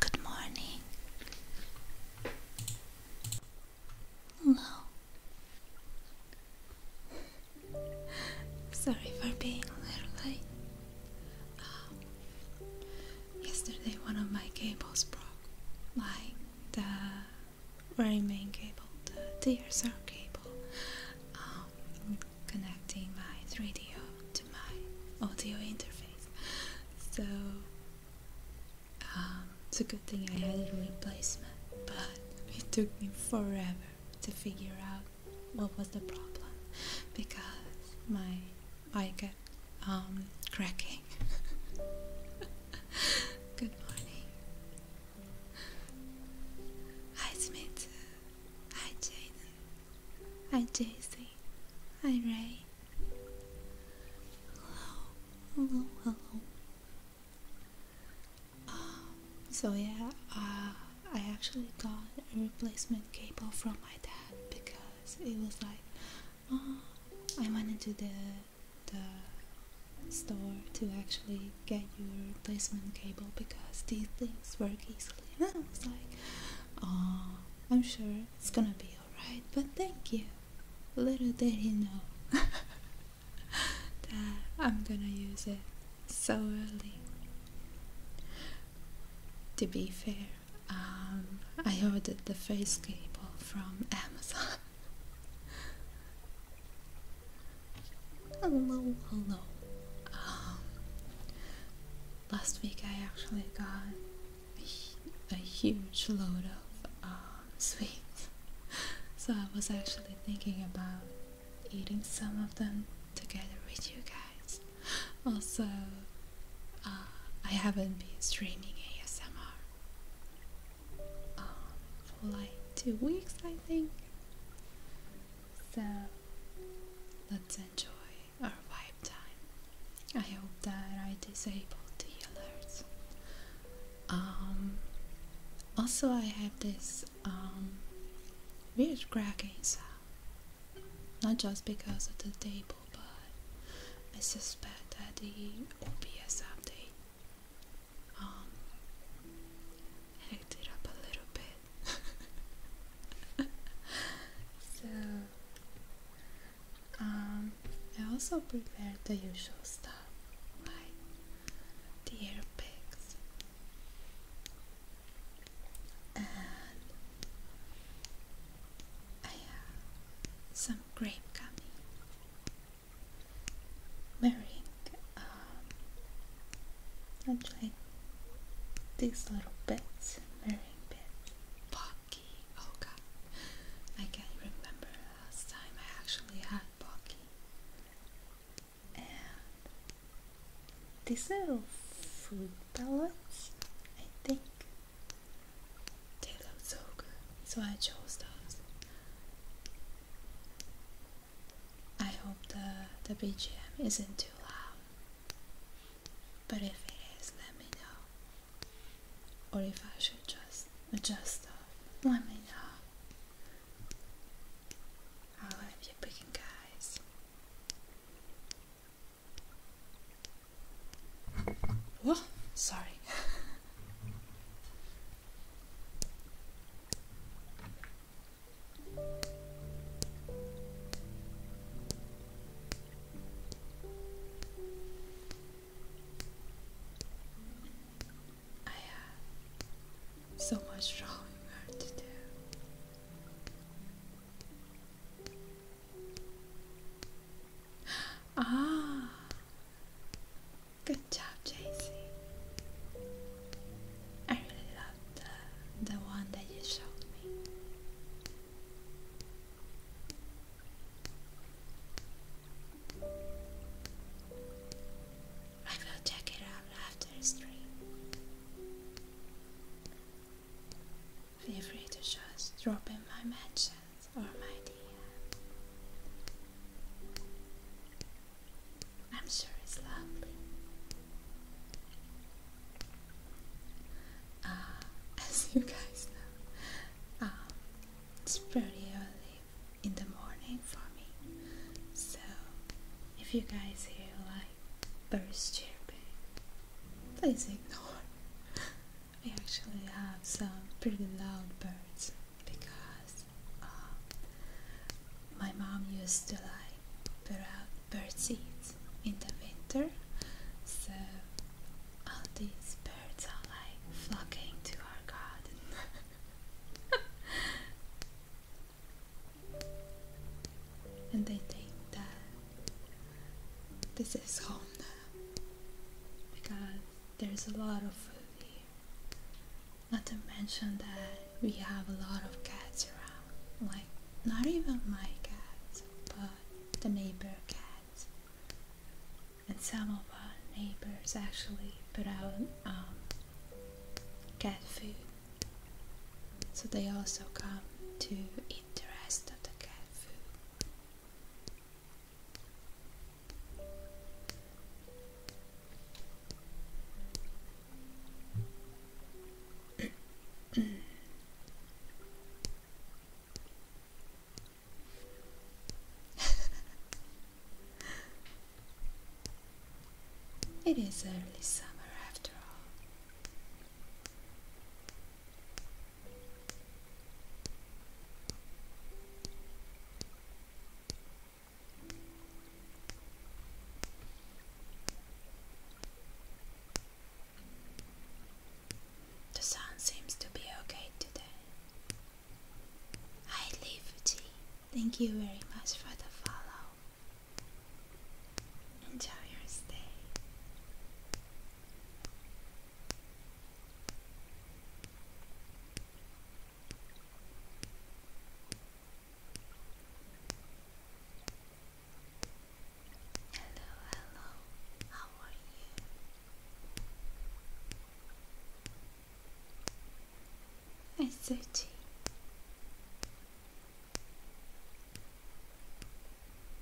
Good morning. Hello. Sorry for being a little late. Um, yesterday, one of my cables broke. Like the very main cable, the DSL cable. Um, connecting my 3D to my audio interface. So um, it's a good thing I had a replacement, but it took me forever to figure out what was the problem because my I get um, cracking. Good morning. Hi Hi Jaden. Hi Daisy. Hi Ray. Hello. Hello, hello. Um, so yeah, uh, I actually got a replacement cable from my dad because it was like, oh, I went into the the store to actually get your replacement cable because these things work easily. I was like, Oh, I'm sure it's gonna be alright, but thank you. Little did he know that I'm gonna use it so early. To be fair, um, I ordered the face cable from Amazon. hello, hello. Um, last week I actually got a, huge load of um, sweets, so I was actually thinking about eating some of them together with you guys. Also, uh, I haven't been streaming ASMR um, for like two weeks, I think. So let's enjoy or wipe time. I hope that I disabled the alerts. Um, also, I have this um, weird cracking sound. Not just because of the table, but I suspect that the OBS update um, hacked it up a little bit. so um, I also prepared the usual stuff like the air and some grape gummy wearing um, actually these little bits Meringue Pocky. Oh I can't remember last time I actually had Pocky. these little fruit pellets, I think. They look so good, so I chose those. I hope the the BGM isn't too loud. But if it is, let me know. Or if I should just adjust stuff, let me know. I'll you picking, guys. Whoa, sorry. I have so much drawing art to do. Ah, good job, JC. I really love the the one that you showed me. I will check it out after the stream. Feel free to just drop in my mansion, or my dear. I'm sure it's lovely. Uh, as you guys know, um, it's pretty early in the morning for me. So, if you guys hear like birds chirping, please ignore. We actually have some pretty loud birds because uh, my mom used to like put bird seeds in the winter. So all these birds are like flocking to our garden. and they think that this is home now because there's a lot of food here. Not to mention that we have a lot of cats around. Like, not even my cats, but uh, the neighbor cats. And some of our neighbors actually put out um, cat food. So they also come to eat the rest of the cat food. it is early summer after all. The sun seems to be okay today. Hi Leafy, thank you very much for the follow. Enjoy your stay. Hello, hello, how are you? It's Uchi.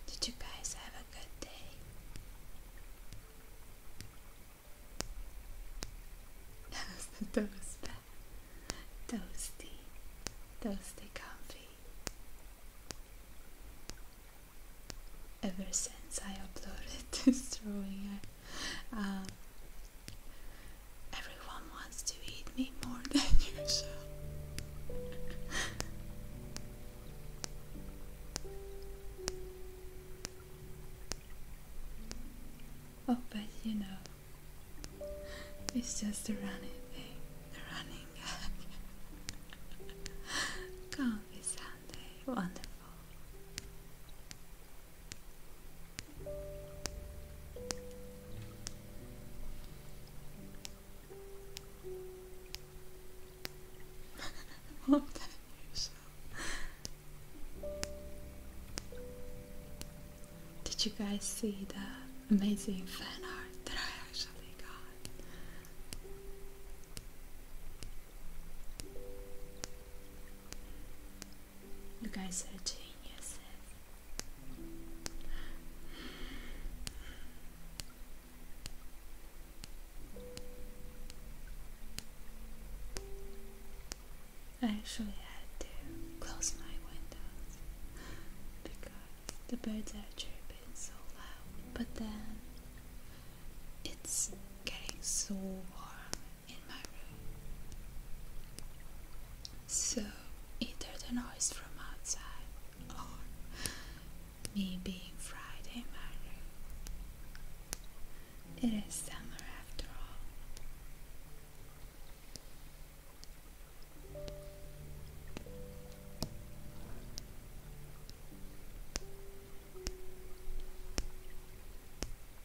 Did you guys have a good day? That Toasty. Toasty comfy ever since I uploaded this drawing I, um, everyone wants to eat me more than usual Oh, but you know, it's just a running thing, a running Coffee Sunday, wonderful. Love Did you guys see the amazing fan art that I actually got? You guys are geniuses. I actually had to close my windows because the birds are chirping but then it's getting so warm in my room. So either the noise from outside or me being fried in my room. It is summer after all.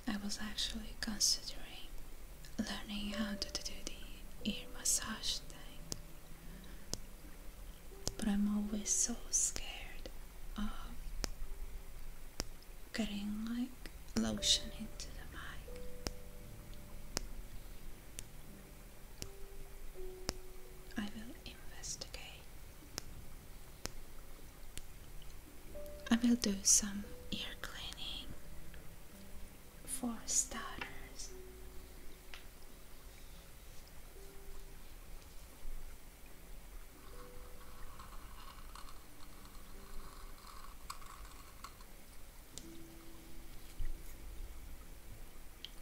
I was actually considering learning how to do the ear massage thing, but I'm always so scared of getting like lotion into the mic. I will investigate. I will do some ear cleaning for starters.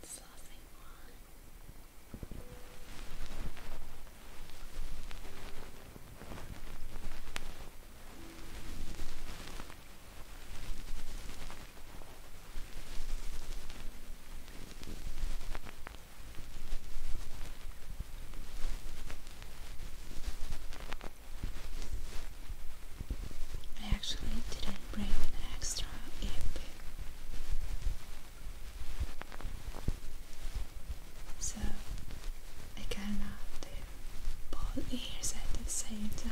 That's all I actually didn't bring an extra so I cannot do both ears at the same time.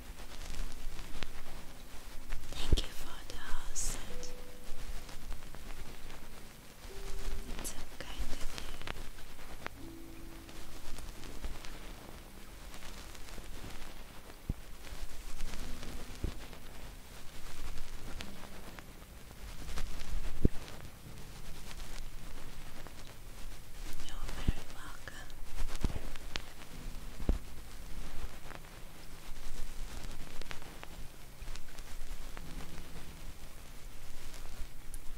Thank you for the house. It's so kind of you. You're very welcome.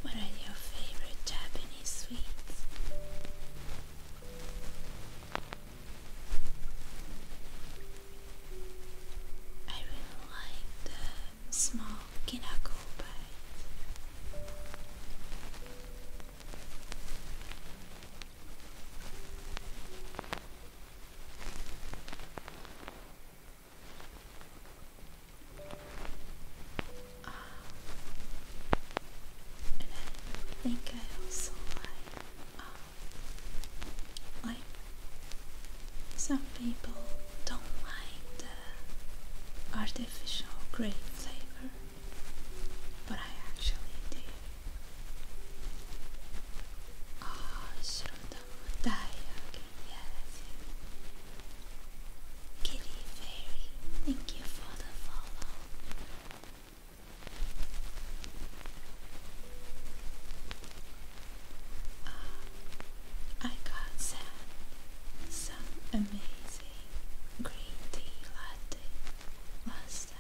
What are your favorite Japanese sweets? I really like the small kinako pie. I think I also like, um, some people don't like the artificial grape flavor. But I actually did. Ah, oh, Shirondamodayaki, yes. Kitty Fairy, thank you for the follow. Uh, I got sent some amazing green tea latte last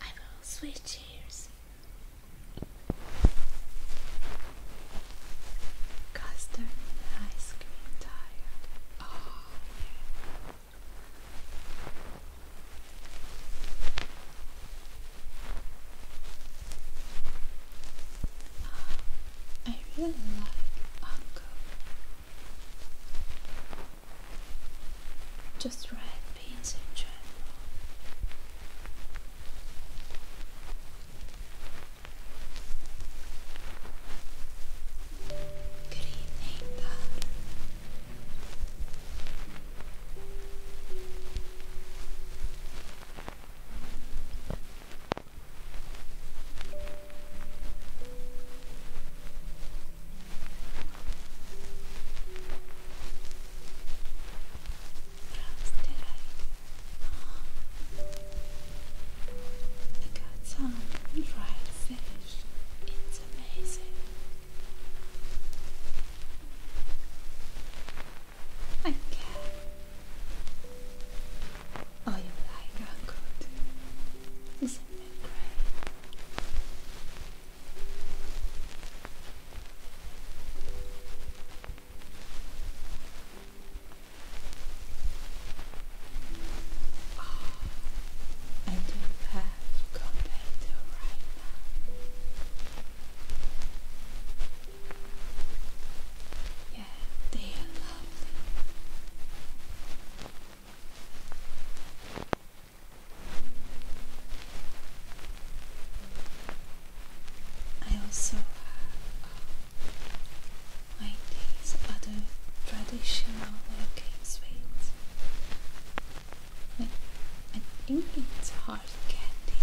I will switch ears. Custom ice cream tire. Oh, I really like Uncle just red beans in general. Good evening, I? got some fried fish. It's amazing. I can. Oh, you like uncooked. Isn't it great? I do have competitor right now. Yeah, they are I also have uh, these other traditional looking sweets. But I think it's hard candy.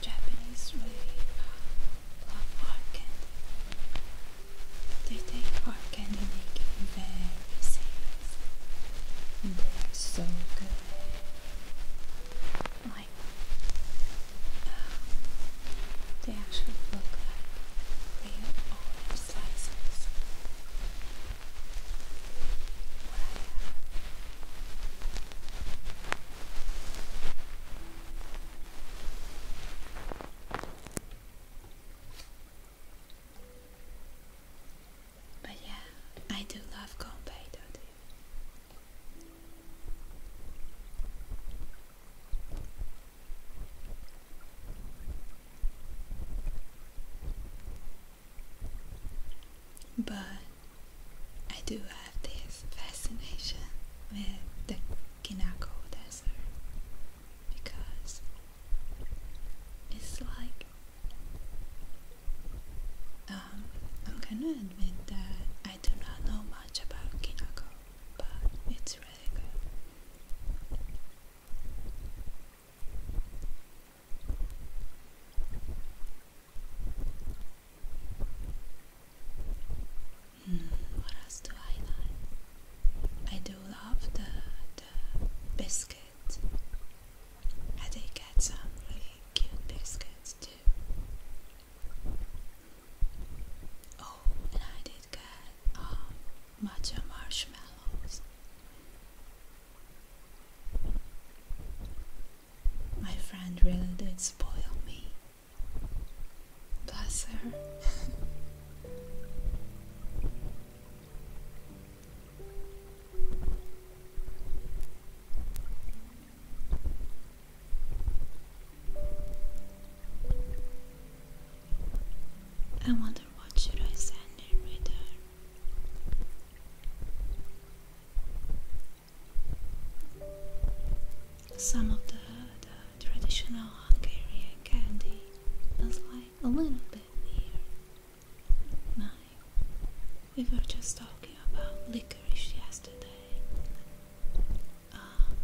Japanese way of love art candy. They, they are candy making very safe. They are so good. Like, um, they actually look like real orange slices. But yeah, I do love Gonbei, don't you? But I do have this fascination with the Kinako Desert because it's like um, I'm gonna admit that I do not know much about Kinako, but it's really good. Mm, what else do I like? I do love the, the biscuit. I did get some really cute biscuits too. Oh, and I did get um, matcha marshmallows. My friend really did spoil me Bless her. I wonder what should I send in with Some of the traditional Hungarian candy. Smells like a little bit near. Nine. We were just talking about licorice yesterday. Um,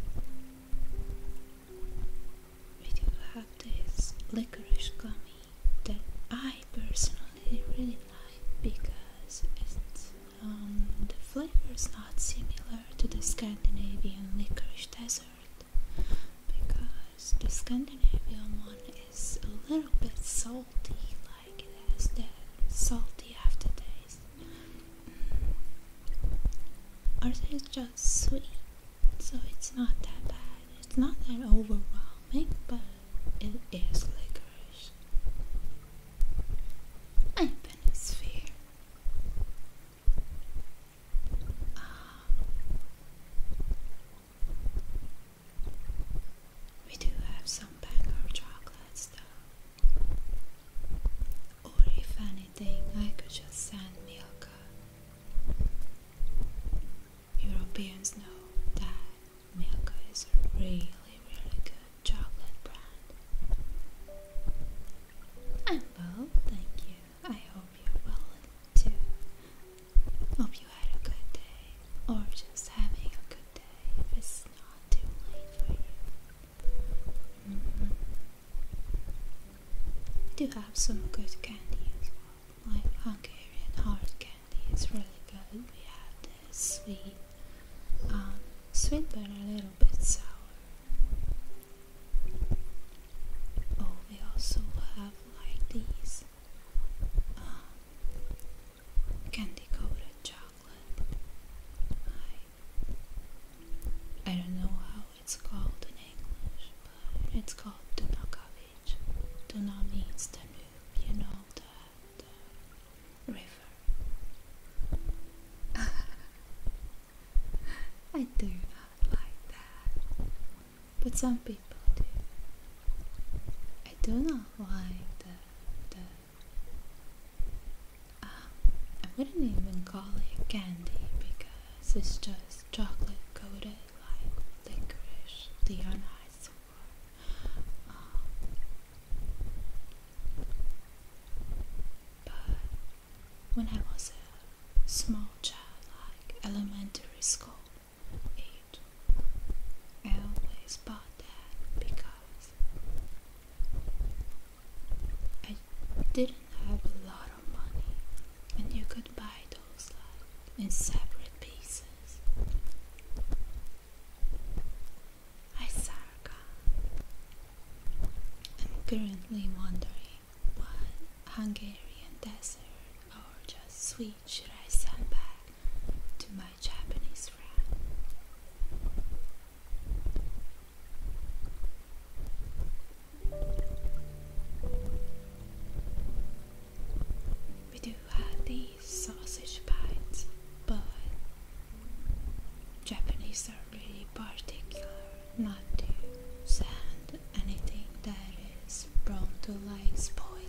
we do have this licorice gummy that I personally really like because it's um, the flavor is not similar to the Scandinavian licorice dessert because the Scandinavian one is a little bit salty, like it has that salty aftertaste. Mm. Ours is just sweet, so it's not that bad. It's not that overwhelming, but it is liquorish. I've been a uh, we do have some Bangor chocolates though. Or if anything, I could just send Milka. Europeans know that Milka is a really, really good chocolate brand. I'm well, thank you. I hope you're well too. Hope you had a good day, or just having a good day if it's not too late for you. Mm-hmm. do have some good candy as well, like Hungarian hard candy is really good. We have this sweet, um, sweet but a little bit sour. Oh, we also have like these um, candy chocolate. I, don't know how it's called in English, but it's called Dunakavich. Duna means Danube, you know, the, the river. I do not like that, but some people do. I do not like the. the um, I wouldn't even call it candy because it's just chocolate coated like licorice, the anise or. Um, but when I was a small child, like elementary school age, I always bought that because I didn't have a lot of money, and you could buy those like in separate pieces. I'm currently wondering what Hungarian dessert or just sweet should I send back to my Japanese friend? We do have these sausage bites, but Japanese are really particular not to send anything that is prone to like spoiling.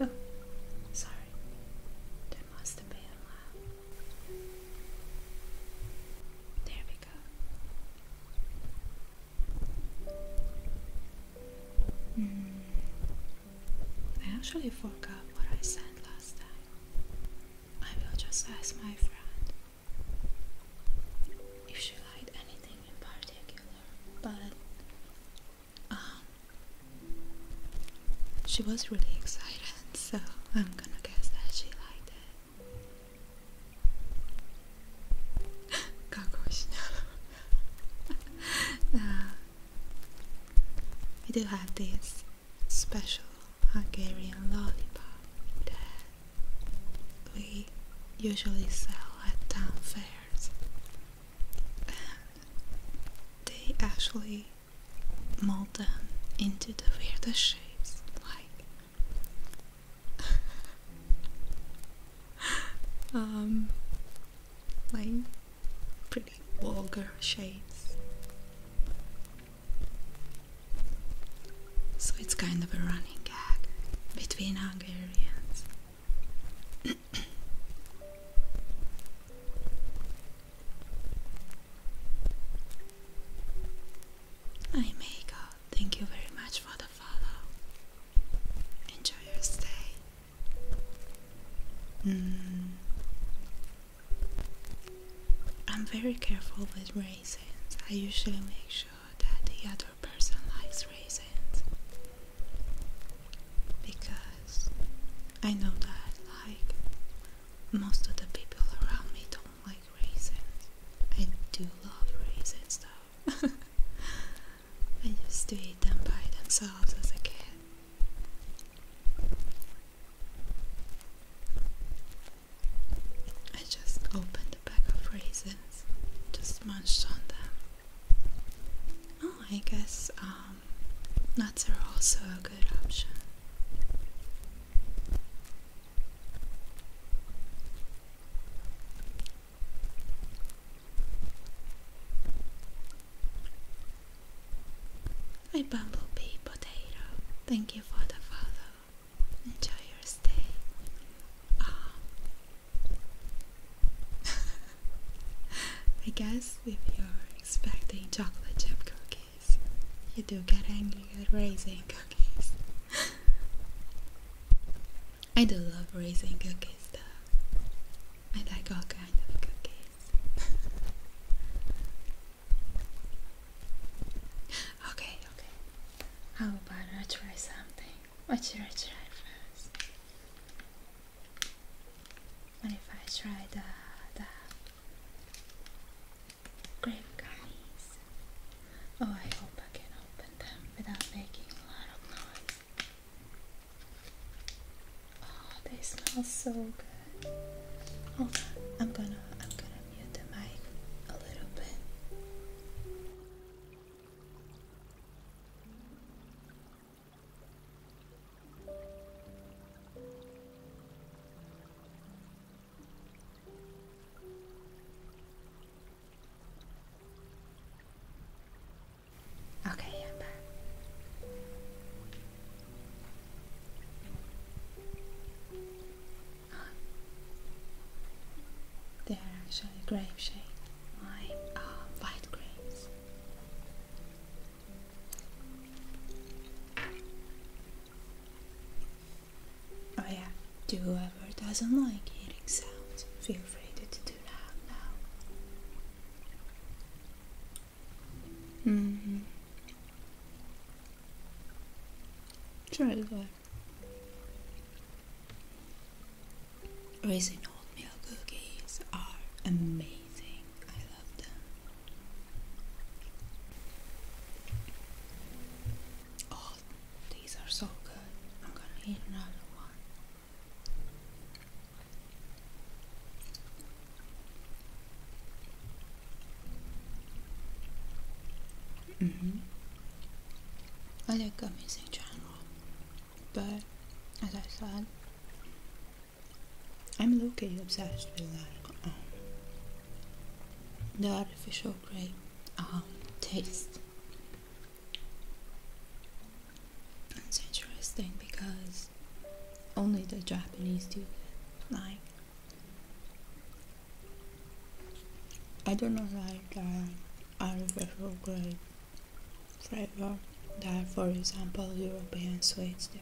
Oh, sorry. There must have been a There we go. Mm. I actually forgot what I sent last time. I will just ask my friend if she liked anything in particular, but um, she was really excited, so I'm gonna guess that she liked it. Kagosh. uh, We do have these special Hungarian lollipop that we usually sell at town fairs. they actually mold them into the weirdest shapes, like um like pretty vulgar shades. So it's kind of a running gag between Hungarians. I make Thank you very much for the follow. Enjoy your stay. Mm. I'm very careful with raisins. I usually make sure that the other person likes raisins because I know that like most of the people around me don't like raisins. I do love raisins though. I used to eat them by themselves as a kid. I just opened a bag of raisins, just munched on them. Oh, I guess um, nuts are also a good option. Hi Bumblebee Potato, thank you for the follow. Enjoy your stay. Oh. I guess if you're expecting chocolate chip cookies, you do get angry at raising cookies. I do love raising cookies though. I like all kinds of cookies face. okay, okay. How about I try something? What should I try first? What if I try the the grape gummies? Oh, I hope I can open them without making a lot of noise. Oh, they smell so good. Hold on, I'm gonna I'm gonna mute the mic a little bit. Okay, I'm back. They are actually grape shade. Mine white grapes. Oh yeah, to whoever doesn't like hearing sounds, feel free to do that now. Mm-hmm. Try oatmeal cookies are amazing. I love them. Oh, these are so good. I'm gonna eat another one. Mm-hmm. I like gummies in general, but as I said, I'm low obsessed with like um, the artificial grape um, taste. It's interesting because only the Japanese do that. Like, I do not know like uh, the artificial grade flavor that, for example, European sweets do.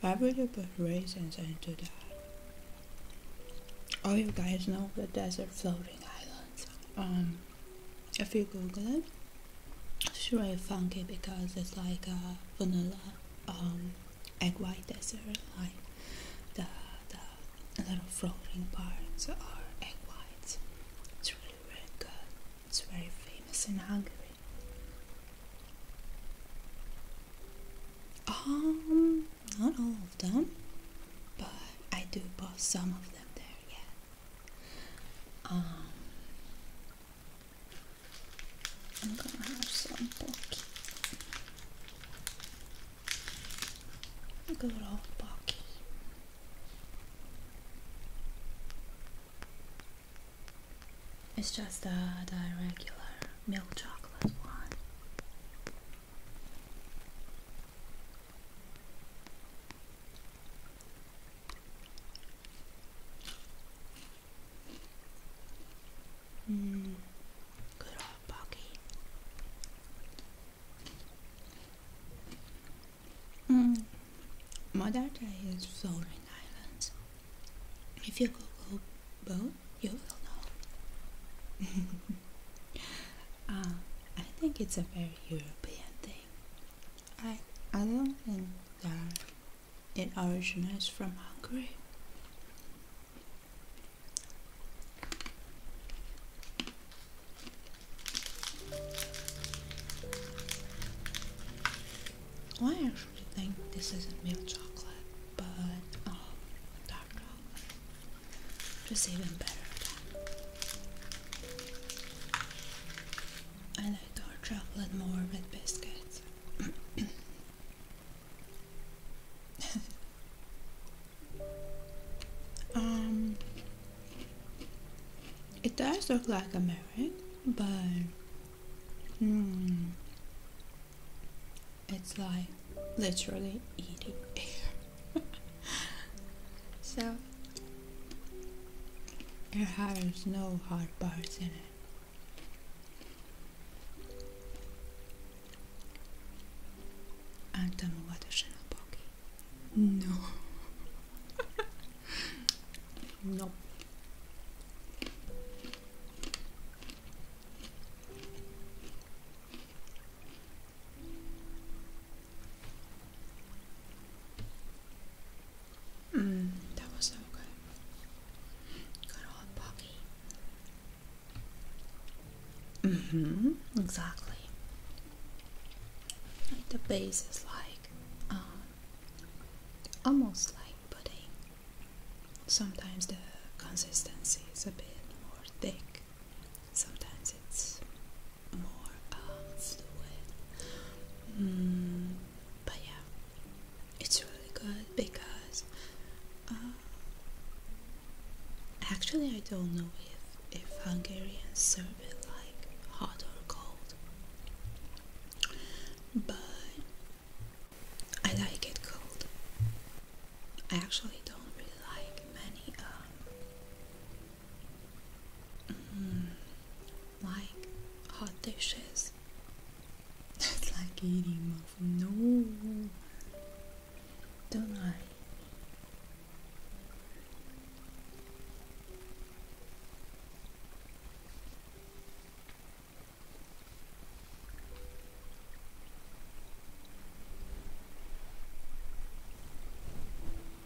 Why would you put raisins into that? All oh, you guys know the desert floating islands. Um, if you google it sure it's funky because it's like a vanilla um, egg white dessert like the, the little floating parts are egg whites it's really really good it's very famous in Hungary um not all of them but I do bought some of them there, yeah. Um, I'm gonna have some pocky. Good old pocky. It's just a the regular milk chocolate one. Mm, good old Bucky. Mm. Madarta is floating islands. If you Google boat, you will know. Uh, I think it's a very European thing. I I don't think that it originates from Hungary. I actually think this isn't milk chocolate, but um, dark just even better I like dark chocolate more with biscuits um it does look like a mirror but hmm it's like literally eating air so there has no hard parts in it. Антону Латышину Боги. No. no. Mmm, that was so good. Good old Bobby. Mm-hmm, exactly. the base is like, um, almost like pudding. Sometimes the consistency is a bit more thick. Sometimes it's more paths mm, but yeah, it's really good because uh, actually I don't know if if Hungarians serve it like hot or cold, but I like it cold. I actually don't really like many um, Mm, like hot dishes. it's like eating muffin. No, don't worry.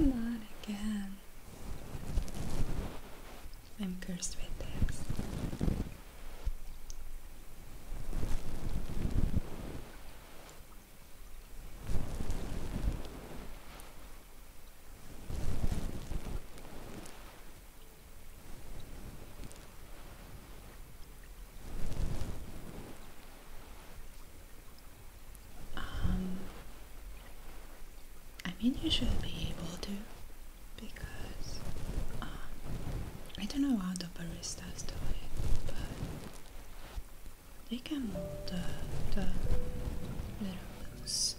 Not again. I'm cursed with this. Um, I mean, you should be able to because um, I don't know how the baristas do it, but they can mold the, the little ones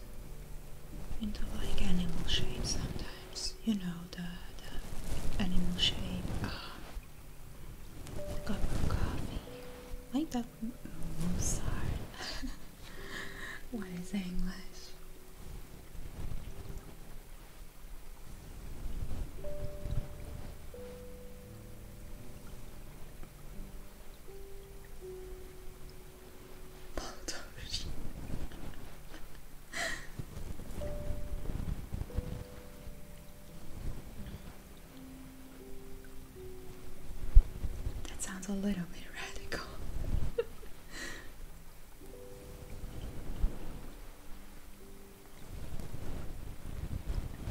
into like animal shapes sometimes. You know the, the animal shape. Uh, a cup of coffee. Like that mm, Mozart. what is English? that sounds a little bit radical.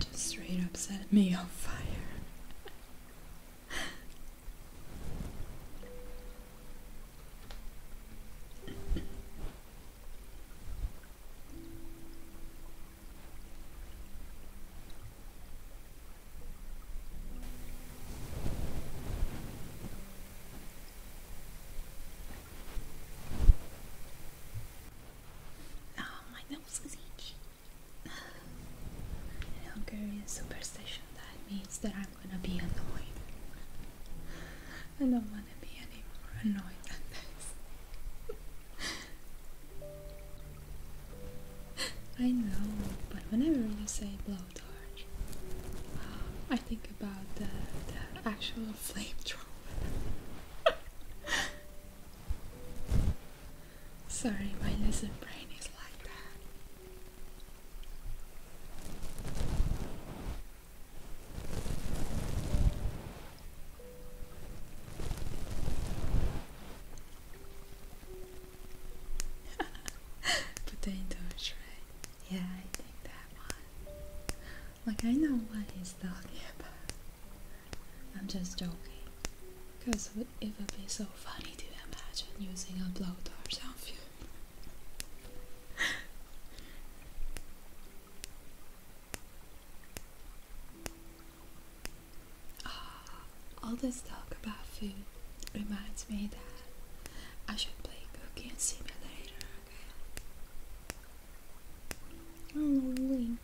Just straight up set me on fire. Oh, my nose is itchy. Hungarian superstition that means that I'm gonna be annoyed. I don't wanna be any more annoyed than this. I know, but whenever you say blowtorch, uh, I think about the, actual flame flamethrower. Sorry, my lizard brain is like that. Potato tray. Yeah, I think that one. Like I know what he's I'm just joking. Because it would be so funny to imagine using a blowtorch ah, on you. all this talk about food reminds me that I should play cooking simulator again. Hello, oh, Link.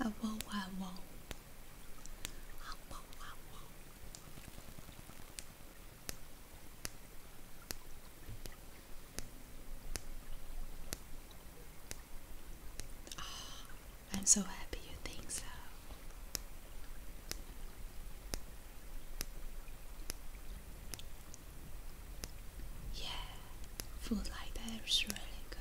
I will, I will. I will, I will. I'm so happy you think so. Yeah, food like that is really good.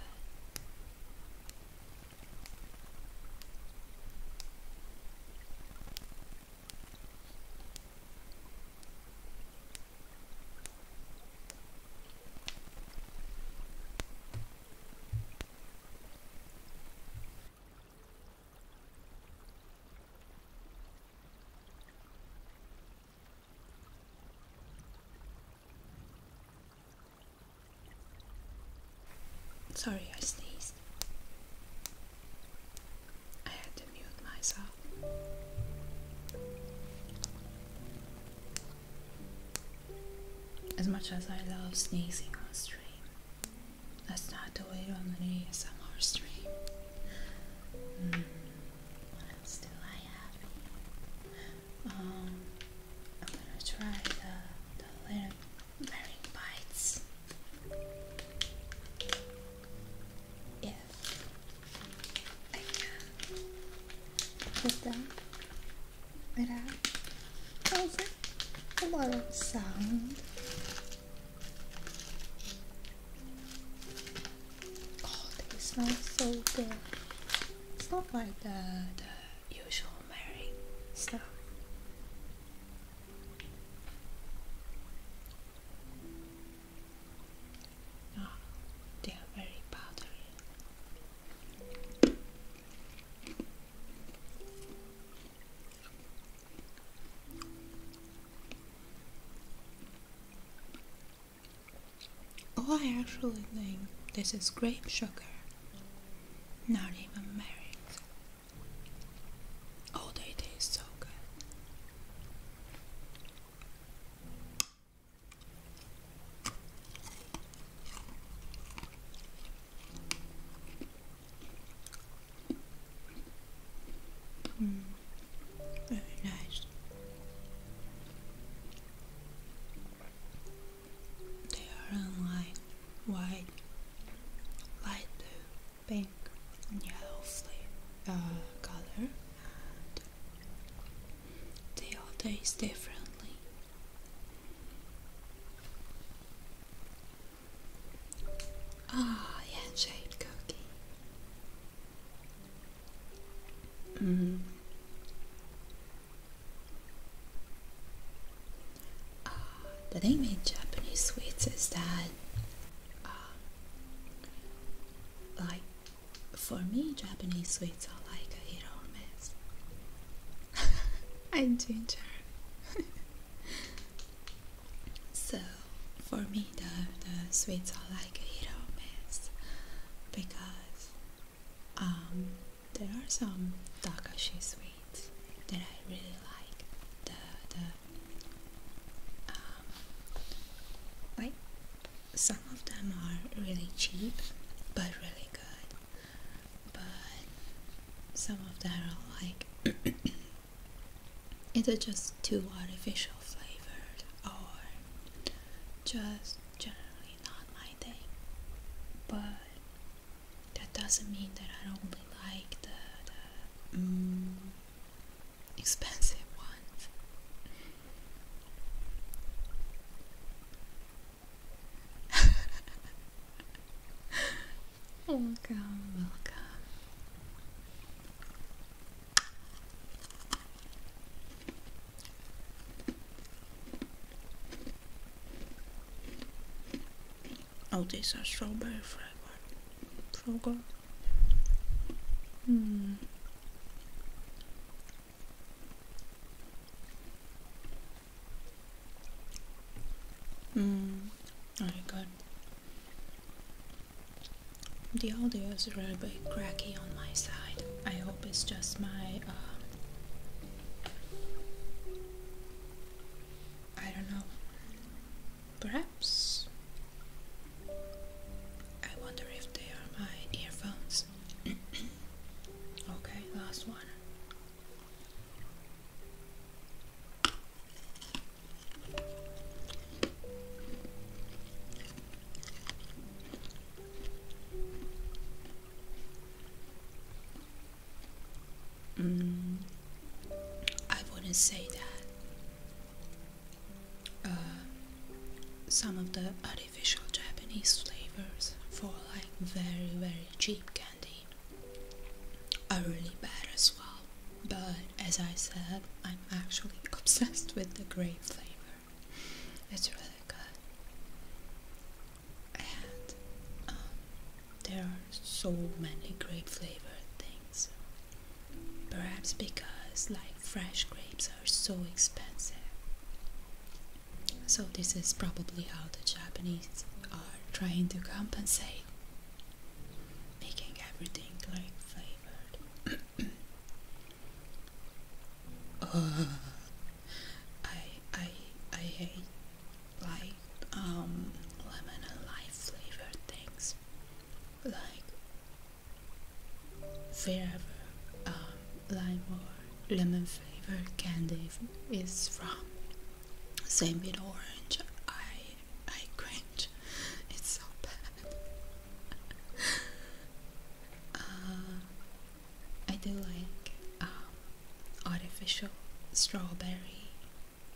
Sorry, I sneezed. I had to mute myself. As much as I love sneezing on stream, that's not the way to on the ASMR stream. Hmm, what else do I have um, I'm gonna try the, the little bearing bites. If I can put them without causing a lot of sound. Oh, they smell so good. It's not like the, usual Mary stuff. Ah, they are very powdery. Oh, I actually think this is grape sugar, not even married. Oh, they so good. Very nice. They are in light, white, light blue, pink, and yellow flavor, uh, color, they all taste differently. Ah, handshake cookie. Mm. Uh, the thing Japanese sweets is that, ah, like, for me, Japanese sweets are like a hit or miss. i enjoy. ginger. So for me the, the sweets are like a hit or miss because um, there are some Takashi sweets that I really like. The, the um, like some of them are really cheap but really good, but some of them are like it's just too artificial flavored or just generally not my thing. But that doesn't mean that I don't really like the, mm, expensive ones. Welcome, welcome. Oh, these are strawberry fragrant. So Hmm. Hmm. Very good. The audio is a little bit cracky on my side. I hope it's just my. Uh, I don't know. Perhaps. I wonder if they are my earphones. okay, last one. Mm, I wouldn't say that. Uh, some of the artificial Japanese flavors for like very very cheap candy are really bad as well. But as I said, I'm actually obsessed with the grape flavor. It's really good. And um, there are so many grape flavored things. Perhaps because like fresh grapes are so expensive. So this is probably how the Japanese are trying to compensate making everything like flavored. uh, I I I hate like um lemon and lime flavored things like wherever um lime or lemon flavored candy is from. Same with orange. I I cringe. It's so bad. Uh, I do like um, artificial strawberry,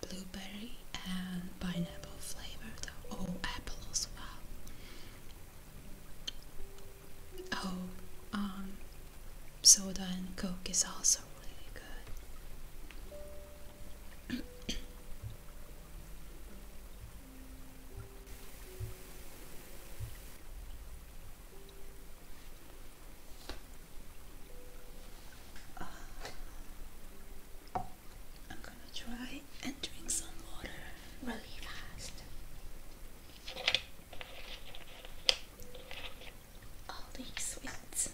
blueberry, and pineapple flavor though. Oh, apple as well. Oh, um, soda and coke is also really good. I'm gonna try and drink some water really fast. All these sweets.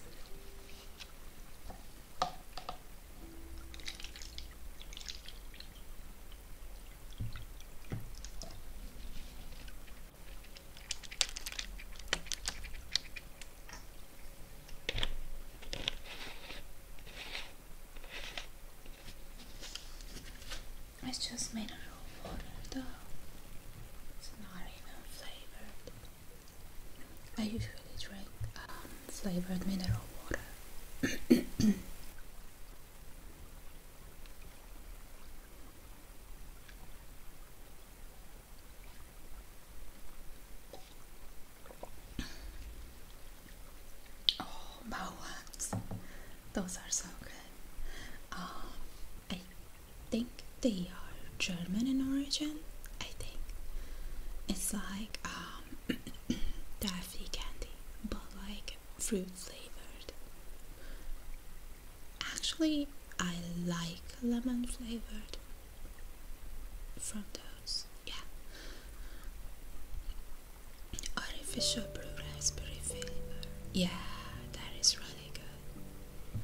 It's just made out of water though. It's not even flavored. I usually drink um, flavored mineral water. oh, Bowlands. Those are so good. Um, I think they are German in origin. I think it's like um, Daffy candy, but like fruit flavored. Actually, I like lemon flavored from those, yeah. Artificial blue raspberry flavor, yeah, that is really good.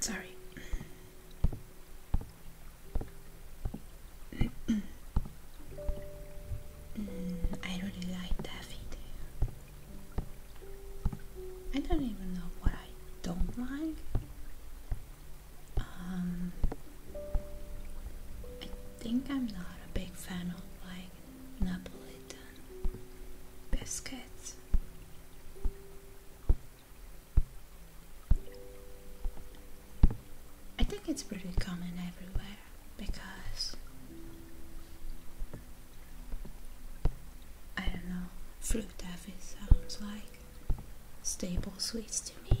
Sorry. mm, I really like that video. I don't even know what I don't like. Um, I think I'm not a big fan of like Napolitan biscuits. I think it's pretty common everywhere because I don't know, fruit taffy sounds like staple sweets to me.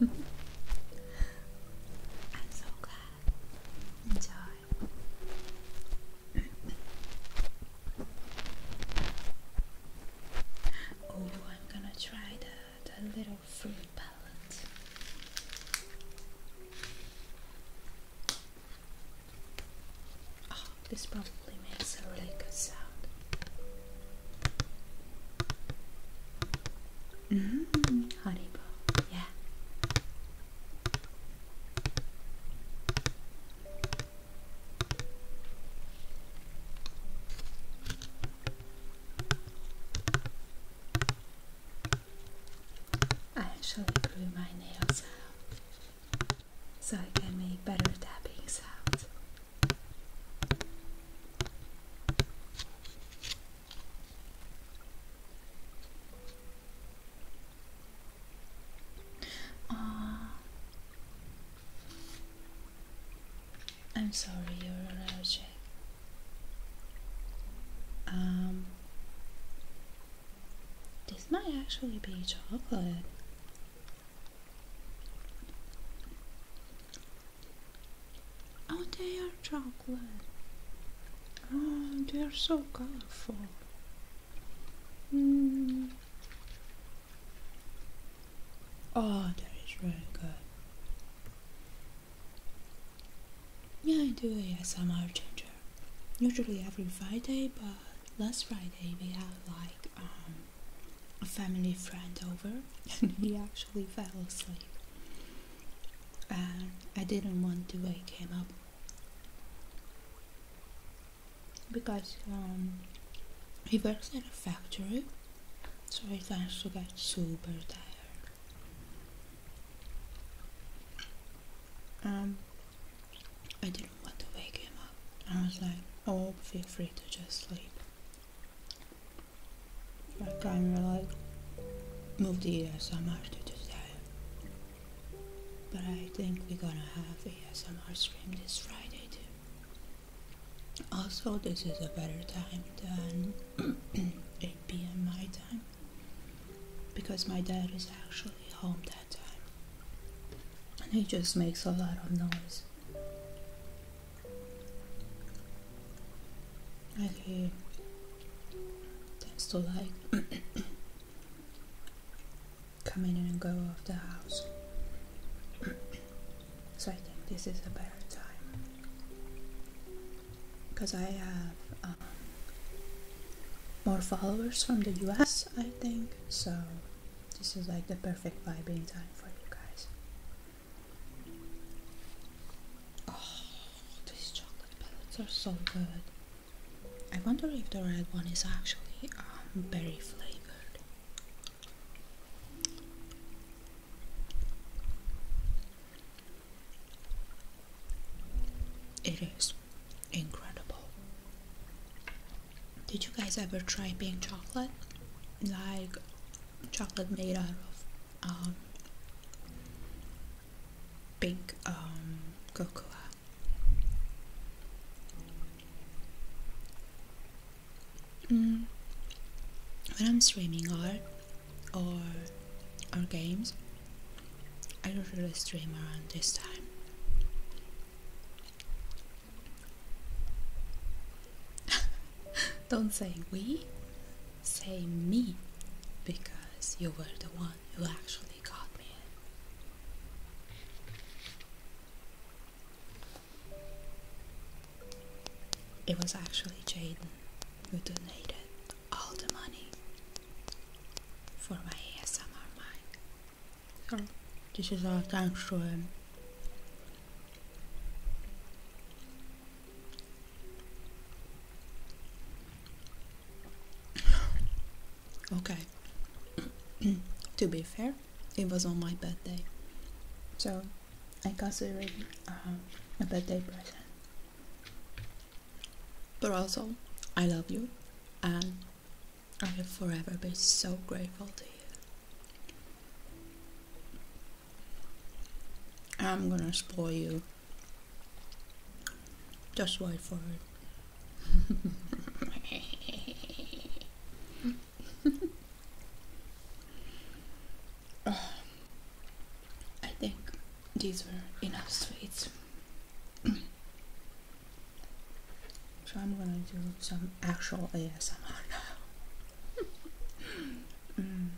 I'm so glad. Enjoy. oh, I'm gonna try the, the little fruit palette. Oh, this probably makes a really good sound. Mmm, -hmm, yeah. I actually grew my nails out so I can make better tapping sounds. Oh, I'm sorry you're allergic. Um, this might actually be chocolate. Oh, they are chocolate. Oh, they are so colorful. Mm. Oh, that is really good. Yeah, I do a ASMR ginger. Usually every Friday, but last Friday we had like um a family friend over and he actually fell asleep. And I didn't want to wake him up because um, he works at a factory, so he tends to get super tired. Um, I didn't want to wake him up. I was like, oh, feel free to just sleep. I am of like moved the ASMR to today. But I think we're gonna have ASMR stream this Friday too. Also, this is a better time than 8 p.m. my time because my dad is actually home that that And it just makes a lot of noise. And he tends to like come in and go off the house. so I think this is a better time. Because I have um, more followers from the US, I think, so this is like the perfect vibing time for you guys. Oh, these chocolate pellets are so good. I wonder if the red one is actually um, berry flavored. It is incredible. Did you guys ever try pink chocolate? Like chocolate made out of um, pink um, cocoa. Mm. When I'm streaming art or or games, I usually stream around this time. Don't say we, say me, because you were the one who actually got me It was actually Jaden who donated all the money for my ASMR mic. So, this is our thanks to him. Okay. to be fair, it was on my birthday. So, I consider it uh, a birthday present. But also, I love you and I will forever be so grateful to you. I'm gonna spoil you. Just wait for it. I think these were enough sweets. So I'm gonna do some actual ASMR now. Mm.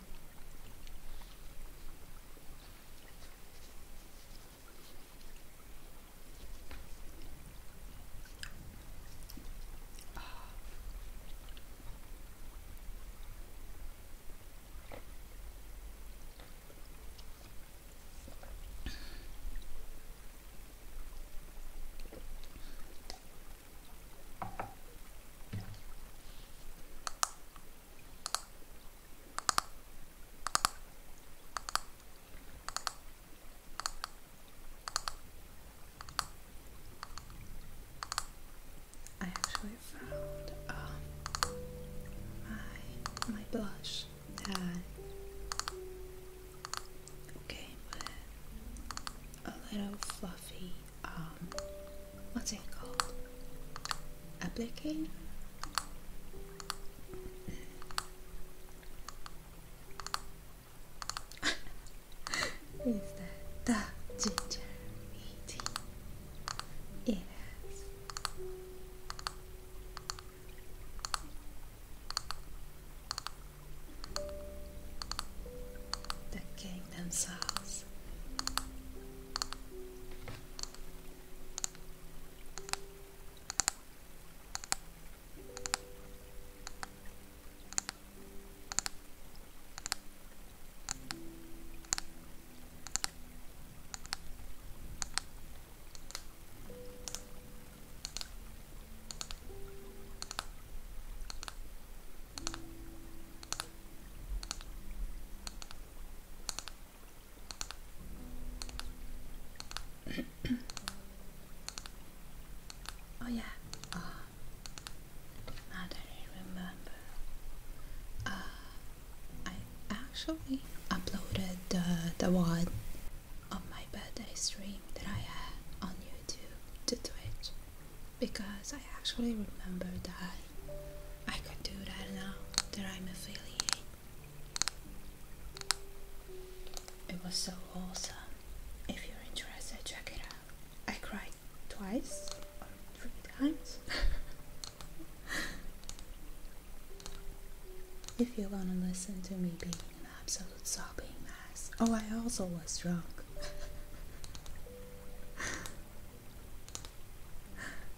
I actually found uh, my my blush Okay, a little fluffy, um, what's it called? Applicator? Is that the ginger tea? Yes. The king themselves oh yeah. Ah. I don't remember. Ah. I actually uploaded the the one on my birthday stream that I had on YouTube to Twitch because I actually remember that I could do that now that I'm affiliate. It was so awesome. If you're interested, check it out. I cried twice or three times. if you wanna listen to me being absolute sobbing mess. Oh, I also was drunk.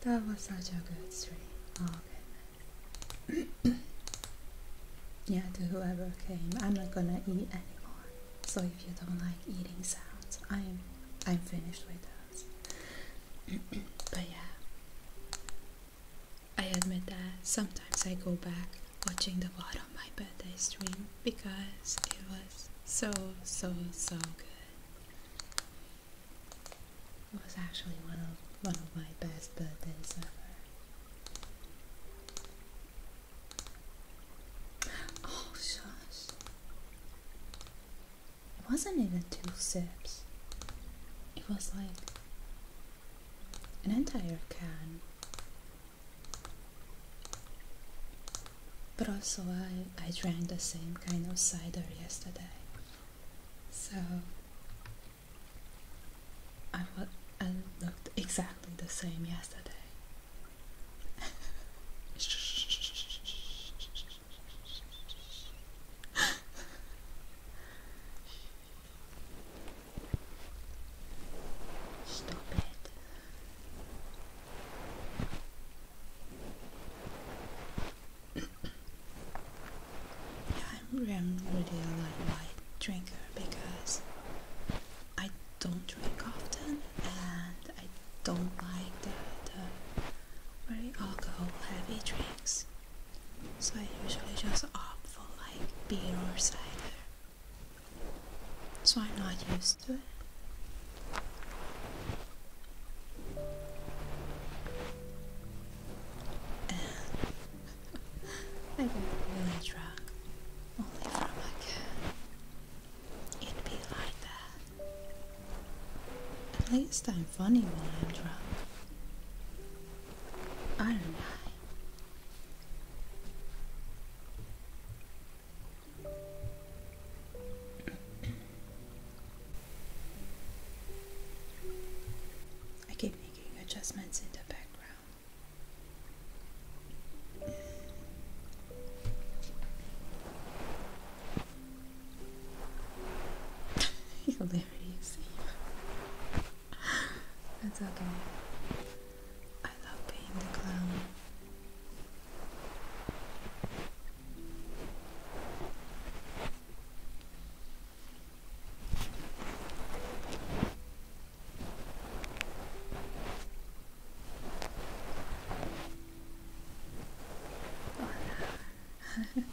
that was such a good stream. Oh goodness. yeah, to whoever came, I'm not gonna eat anymore. So if you don't like eating sounds, I'm I'm finished with those. but yeah. I admit that sometimes I go back watching the VOD my birthday stream because it was so, so, so good. It was actually one of, one of my best birthdays ever. Oh, shush. It wasn't even two sips. It was like an entire can but also, I, I drank the same kind of cider yesterday, so I, I looked exactly the same yesterday. Stop it. yeah, I'm, really a light wine drinker because I don't drink often and I don't like the, the very alcohol heavy drinks. So I usually just opt for like beer or cider so I'm not used to it. And I got really drunk only from a cat. It'd be like that. At least I'm funny when I'm drunk. I don't know. I keep making adjustments in the background. Hilarious. That's okay. I love being the clown.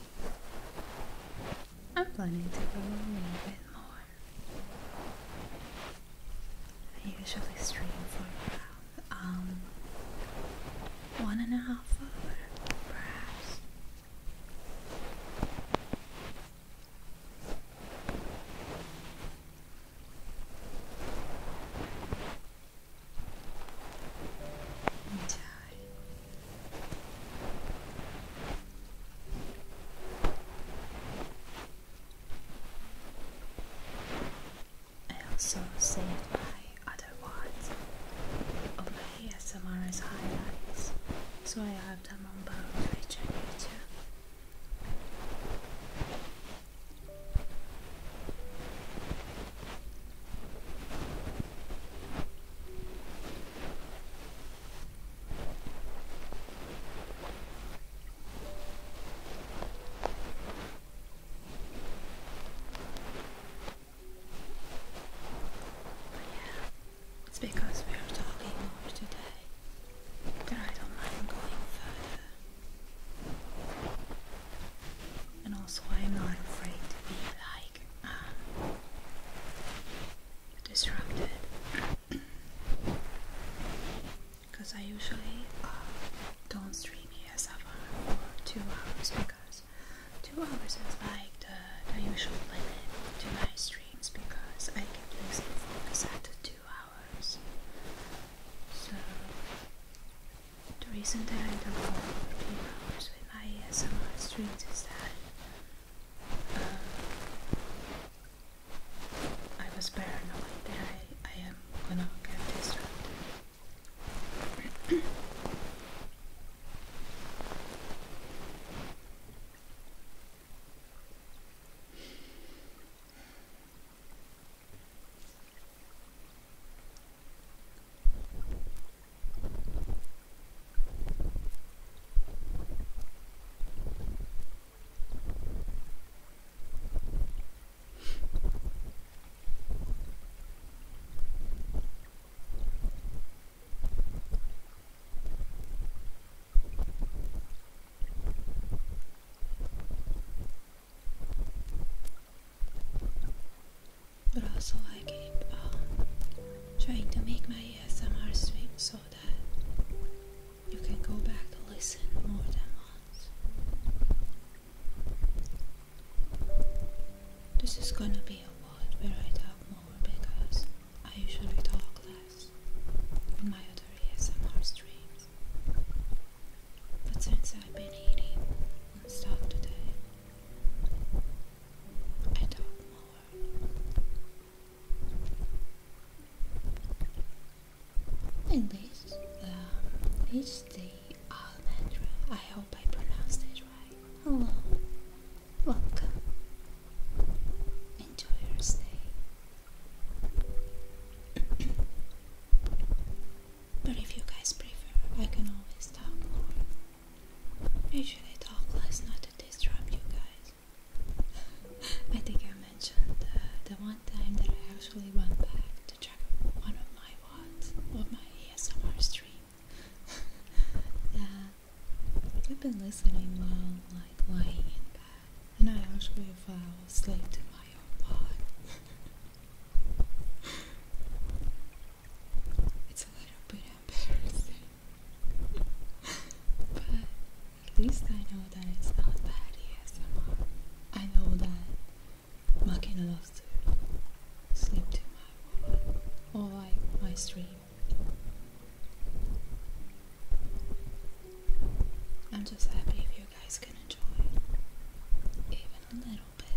I'm planning to go a little bit more. I usually stream for about um, one and a half hours, perhaps. Enjoy. I also saved by other ones of my ASMR's highlights, so I have them on both Twitch and YouTube it's because we are talking more today that I don't mind going further. And also, I'm not afraid to be like um, disrupted because I usually uh, don't stream ESFR for two hours because two hours is like the, the usual limit to my streams because I can lose focus after two hours. So the reason that I don't go two hours with my ESFR streams is that uh, I was paranoid that I, I am gonna get distracted. But also I keep trying to make my SMR stream so that you can go back to listen more than once. This is gonna be a world where I talk more because I usually talk less in my other ASMR streams. But since I've been eating and stuff today, I talk more. And this um, is the Almendra. I hope I pronounced it right. Hello, welcome. Enjoy your stay. but if you guys prefer, I can always talk more. Usually, talk less not to disrupt you guys. I think I mentioned the one time that I actually went back to check one of my what of my ASMR stream. that I've been listening while like lying in bed, and I actually fell asleep to my own pod. it's a little bit embarrassing, but at least I know that it's not bad Yes, I know that Makina loves to sleep to my woman or like my stream. I'm just happy if you guys can enjoy even a little bit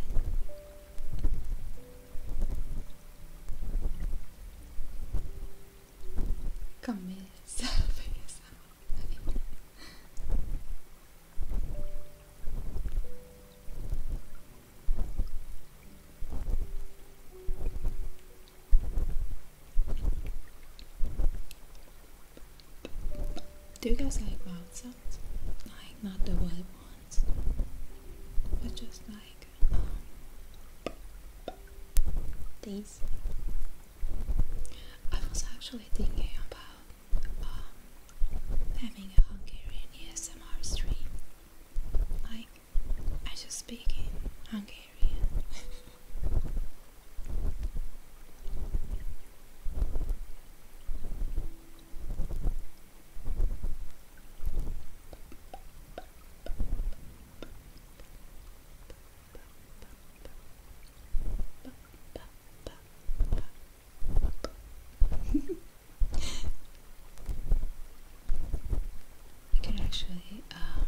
camisa Do you guys like mouth sounds? Like not the wild ones, but just like um, these. I was actually thinking about um, having a Hungarian ASMR stream. Like, I just speak in Hungarian. I can actually um,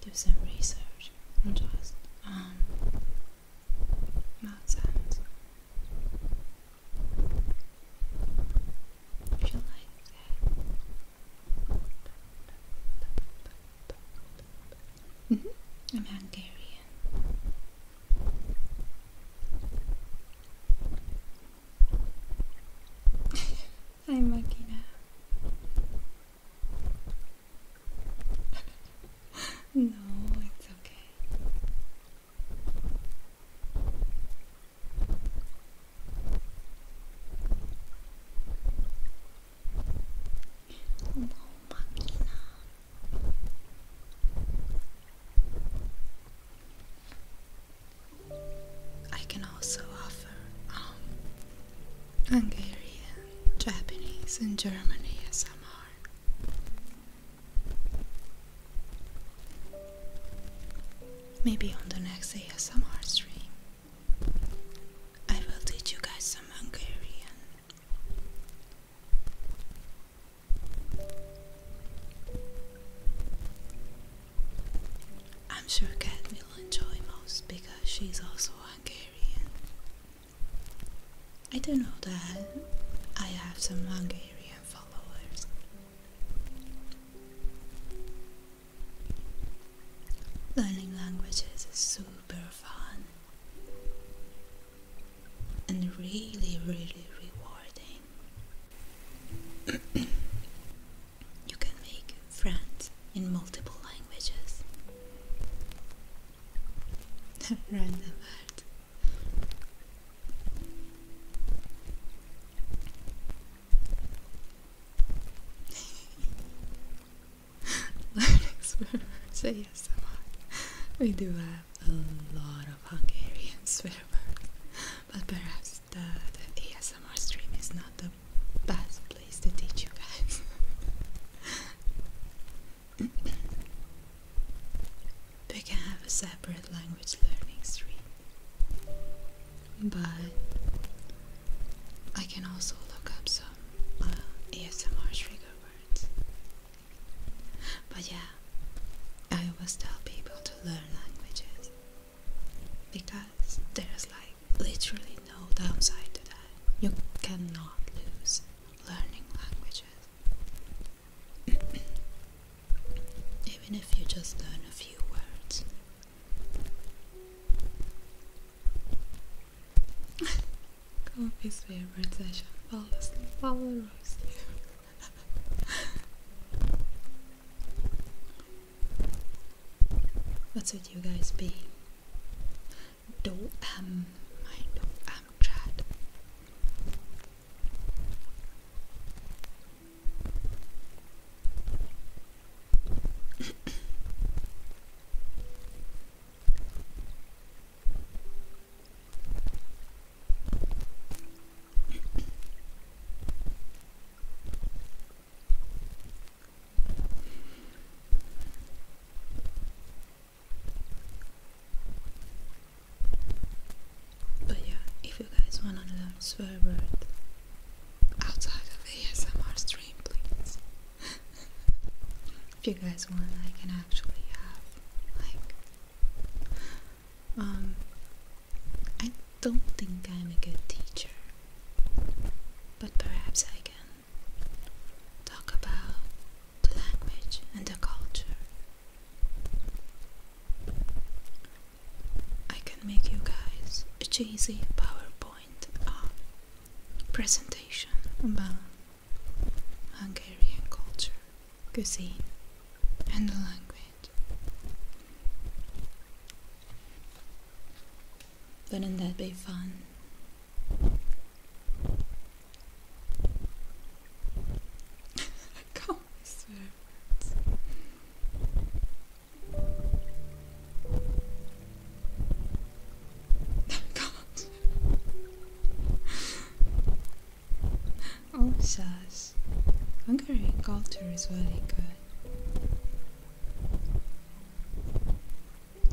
do some research not just um, mouth sounds. If you like Mm-hmm. I'm Hungarian. I'm lucky now. no, it's okay. I can also offer um, Hungarian, Japanese, and German ASMR. Maybe on the next ASMR stream, I will teach you guys some Hungarian I'm sure Kat will enjoy most because she's also Hungarian. I do not know that I have some Hungarian followers. Learning languages is super fun and really, really rewarding. you can make friends in multiple languages. Random art. Learning swear words ASMR. We do have a lot of Hungarian swear but perhaps the, the ASMR stream is not the best place to teach you guys. we can have a separate language learning stream, but I can also look up some uh, ASMR trigger words. But yeah, I always tell people to learn languages because there's like literally no downside to that. You cannot lose learning languages. Even if you just learn a few words. Come up his favorite session. Fall rose. what should you guys be? Do am I do am Chad. But yeah, if you guys wanna learn swear word outside of ASMR stream, please if you guys want, I can actually have like um I don't think I'm a good teacher. But perhaps I can talk about the language and the culture. I can make you guys a cheesy PowerPoint uh, presentation about Hungarian culture, cuisine, and the language. Wouldn't that be fun? I can't oh, shush. Hungary culture is really good.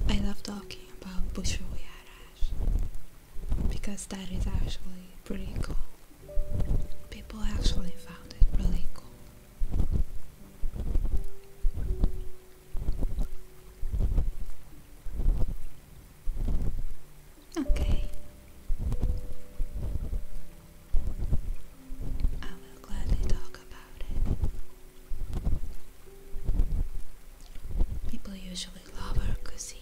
I love talking about Bushoyarash because that is actually pretty cool. People actually found it really cool. Okay. I will gladly talk about it. People usually love our cuisine.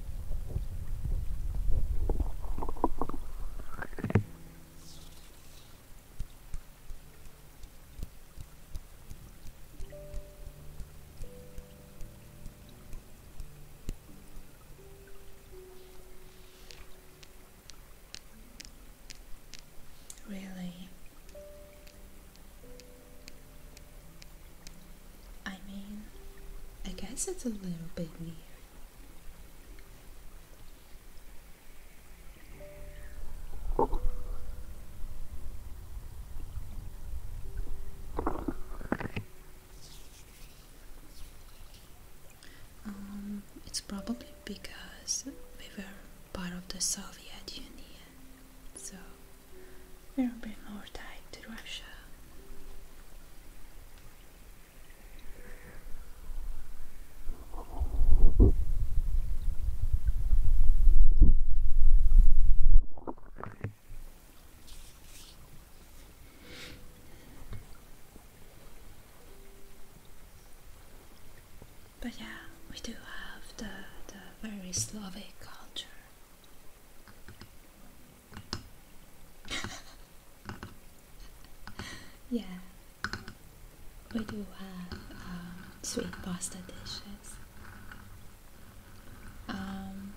Really, I mean, I guess it's a little bit weird. Um, it's probably because we were part of the Soviet Union, so we're a more tied to Russia. But yeah, we do have the, the very Slavic culture. yeah, we do have um, sweet pasta dishes. Um,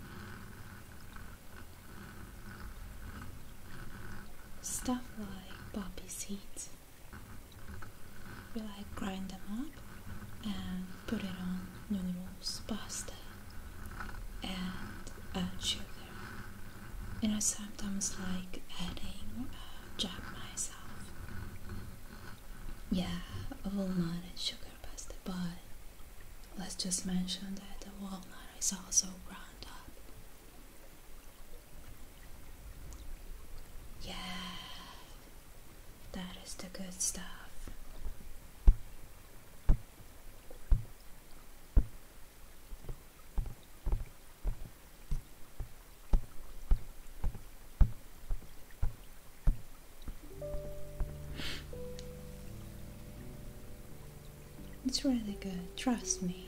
stuff like poppy seeds. We like grind them up and put it on noodles, pasta, and uh, sugar. You know, sometimes like adding uh, jam myself. Yeah, walnut and sugar pasta, but let's just mention that the walnut is also ground up. Yeah, that is the good stuff. It's really good, trust me.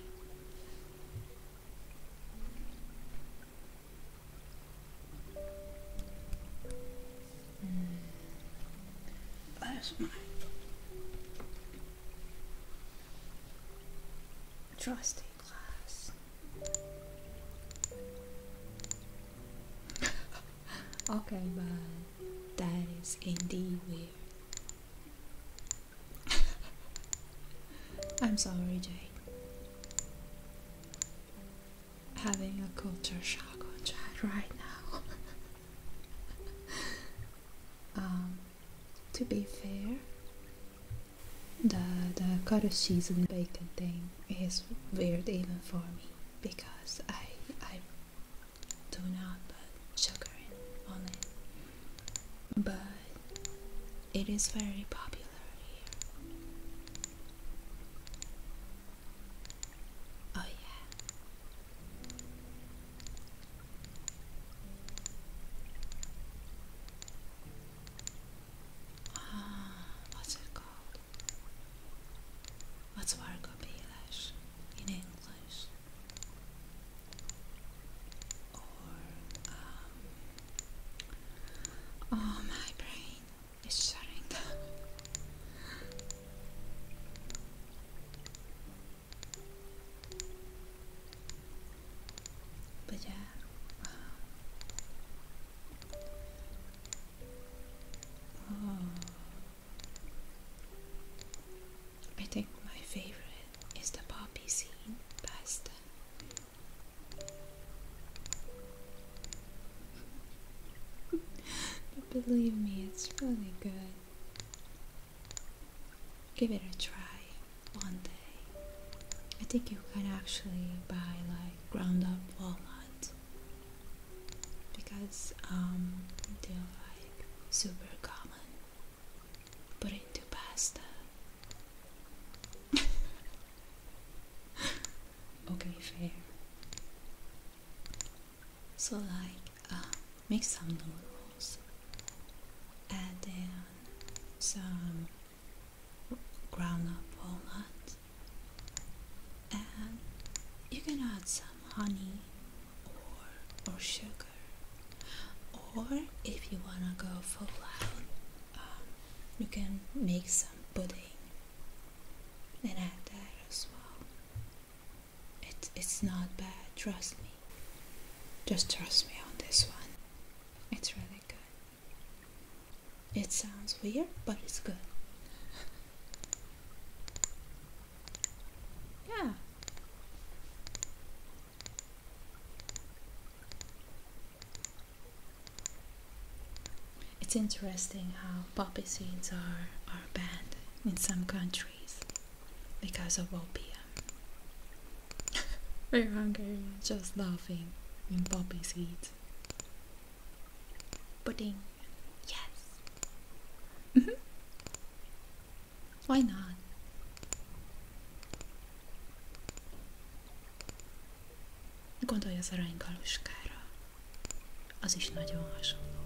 Mm. That's Trusty glass. okay, but that is indeed weird. I'm sorry, Jay. Having a culture shock on chat right now. Um, to be fair, the, the cottage cheese and bacon thing is weird even for me because I, I do not put sugar in on it. But it is very popular here. Oh yeah what's it called? What's Vargobelish in English? Um, oh, my brain is shutting Brillar, ah. I think my favorite is the poppy scene pasta. but believe me, it's really good give it a try one day. I think you can actually buy like ground up walnuts because um, they're like super common. Put it into pasta. okay, fair so like uh, make some noodles add in some ground up walnut and you can add some honey or, or sugar or if you wanna go full out um, you can make some pudding and add that as well it, it's not bad, trust me. Just trust me on this one. It's really good. It sounds weird, but it's good. yeah. It's interesting how poppy seeds are, are banned in some countries because of opium. We're hungry, just laughing in poppy seeds. Pudding, yes. Mm -hmm. Why not? Gondolj az aranygaluskára. Az is nagyon hasonló.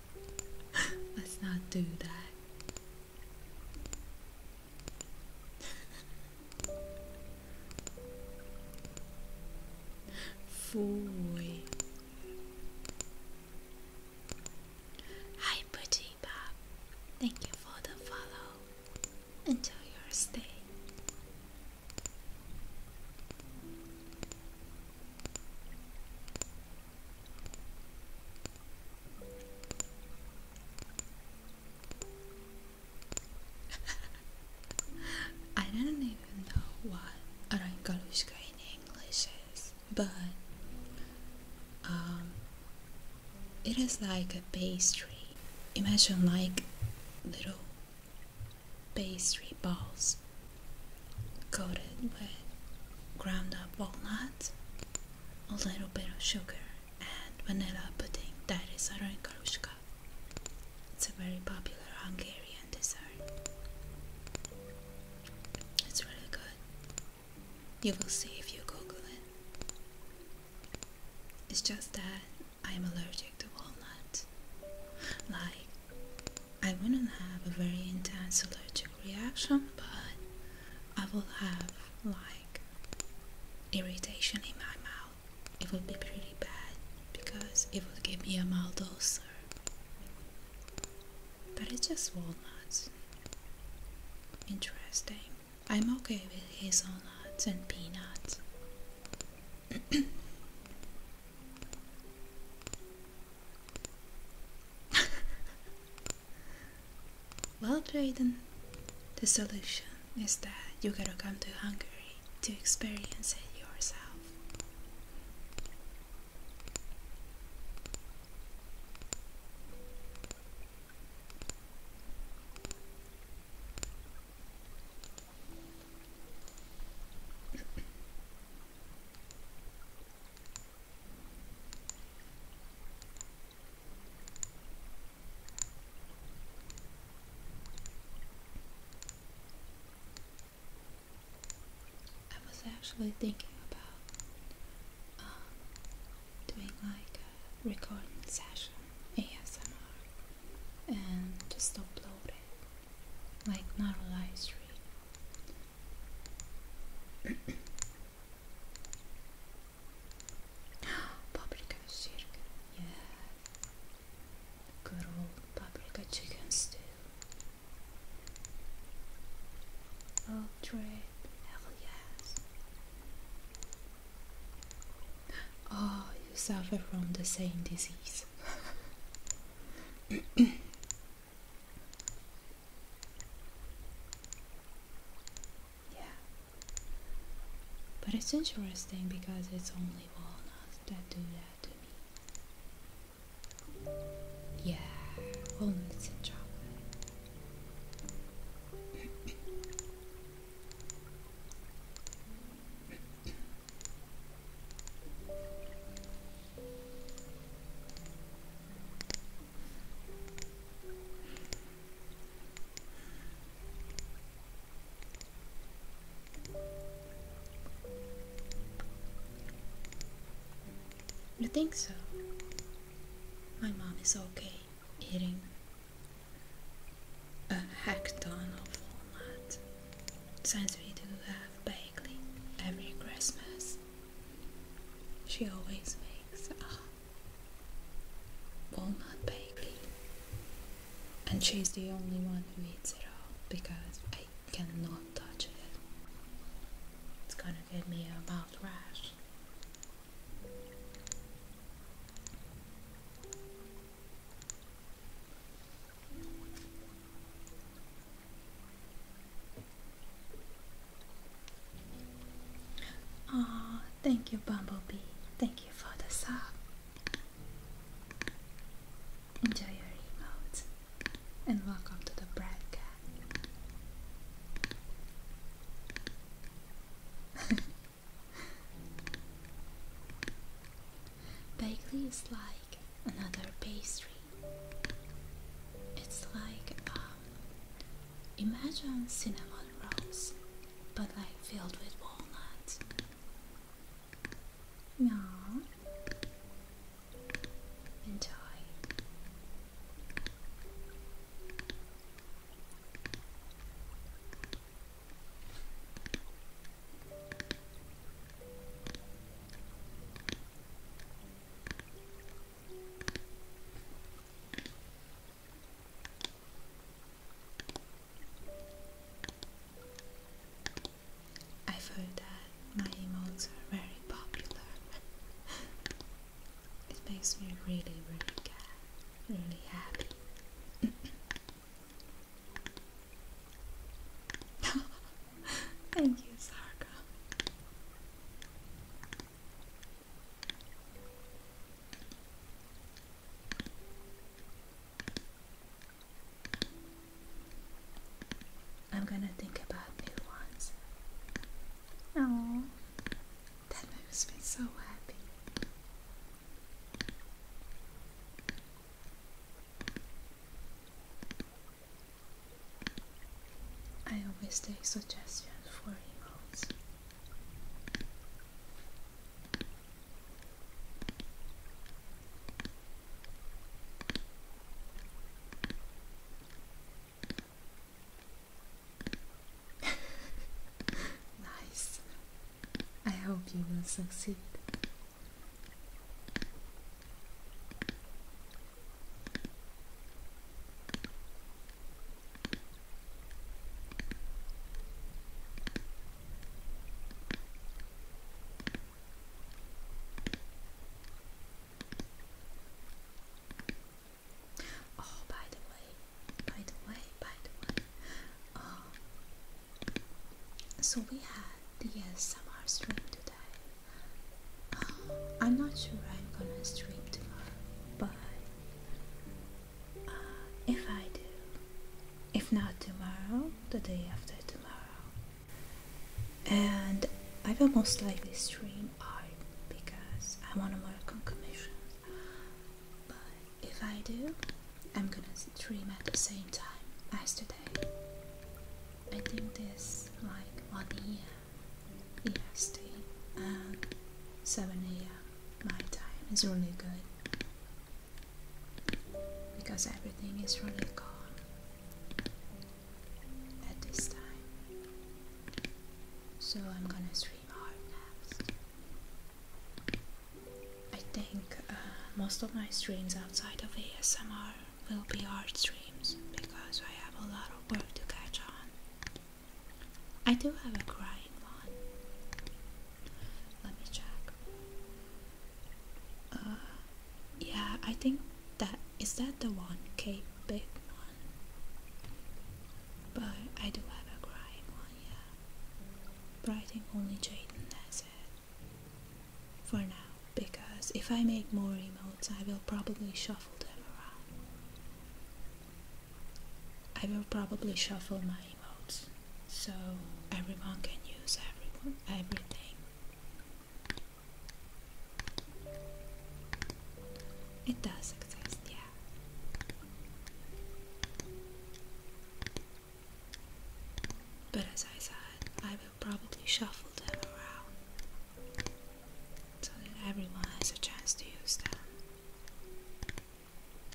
Let's not do that. Fooey. Hi, Pretty Thank you for the follow. Enjoy your stay. I don't even know what Orangalushka in English is, but um, it is like a pastry. Imagine like little pastry balls coated with ground up walnut a little bit of sugar and vanilla pudding that is Arankarushka. It's a very popular Hungarian dessert. It's really good. You will see if you google it. It's just that I'm allergic to walnut. Like I wouldn't have a very intense allergic reaction, but I will have like irritation in my mouth. It will be pretty bad because it will give me a mild ulcer. But it's just walnuts. Interesting. I'm okay with hazelnuts and peanuts. Well, Jaden, the solution is that you gotta come to Hungary to experience it yourself. I was actually thinking about um, doing like a recording session ASMR and just upload it like not a live stream paprika chicken, yeah. paprika chicken stew. Old trade, oh, you suffer from the same disease. Yeah. But it's interesting because it's only walnuts that do that to me. Yeah, only and chocolate. You think so? My mom is okay eating a hack ton of walnut since we do have bagley every Christmas. She always makes a ah, walnut baby, and she's the only one who eats it all because I cannot touch it. It's gonna give me a mouth rash. Oh, thank you, Bumblebee. Thank you for the sub. Enjoy your emote and welcome to the broadcast. Bagley is like another pastry. It's like um, Imagine cinnamon rolls, but like filled with walnuts. Meow. Enjoy. I feel that my emotes are very popular. it makes me really, really really happy. Thank you, Sarka. I'm gonna think about new ones. Oh, that makes me so happy. I always take suggestions for emotes. nice. I hope you will succeed. Oh, by the way, by the way, by the way, um, so we had the ASMR stream today. I'm not sure I'm gonna stream tomorrow, but uh, if I do, if not tomorrow, the day after tomorrow. And I will most likely stream art because I want to work on commissions. But if I do, I'm gonna stream at the same time as today. I think this like one year EST and um, 7 a.m. my time is really good because everything is really calm at this time. So I'm gonna stream hard next. I think uh, most of my streams outside of ASMR will be hard streams because I have a lot of work to catch on. I do have a crying one. Let me check. Uh, yeah, I think that is that the one K big one. But I do have a crying one, yeah. But I think only Jaden has it for now, because if I make more emotes, I will probably shuffle them around. I will probably shuffle my emotes so everyone can use everyone everything. It does exist, yeah. But as I said, I will probably shuffle them around so that everyone has a chance to use them.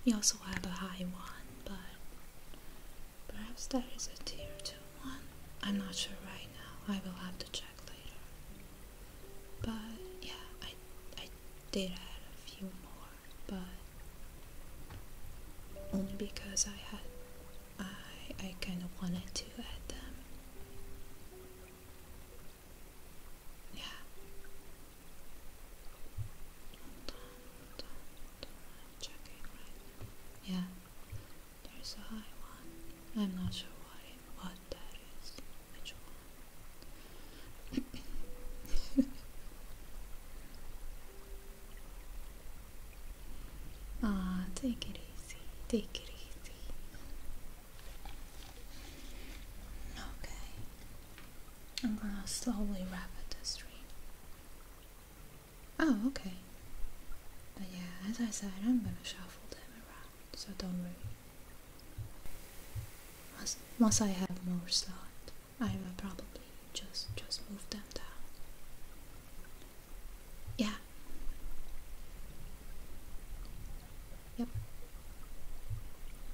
We also have a high one, but perhaps there is a tier 2 one. I'm not sure right now. I will have to check later. But yeah, I, I did add a few more, but only because I had I I kind of wanted to add them. Yeah. Yeah. There's a high one. I'm not sure what what that is. Ah, take it easy. Take it easy. Okay. I'm gonna slowly wrap it the stream. Oh, okay. But yeah, as I said, I'm gonna shuffle them around, so don't worry. Once, once I have more slot, I will probably just just move them down. Yeah. Yep.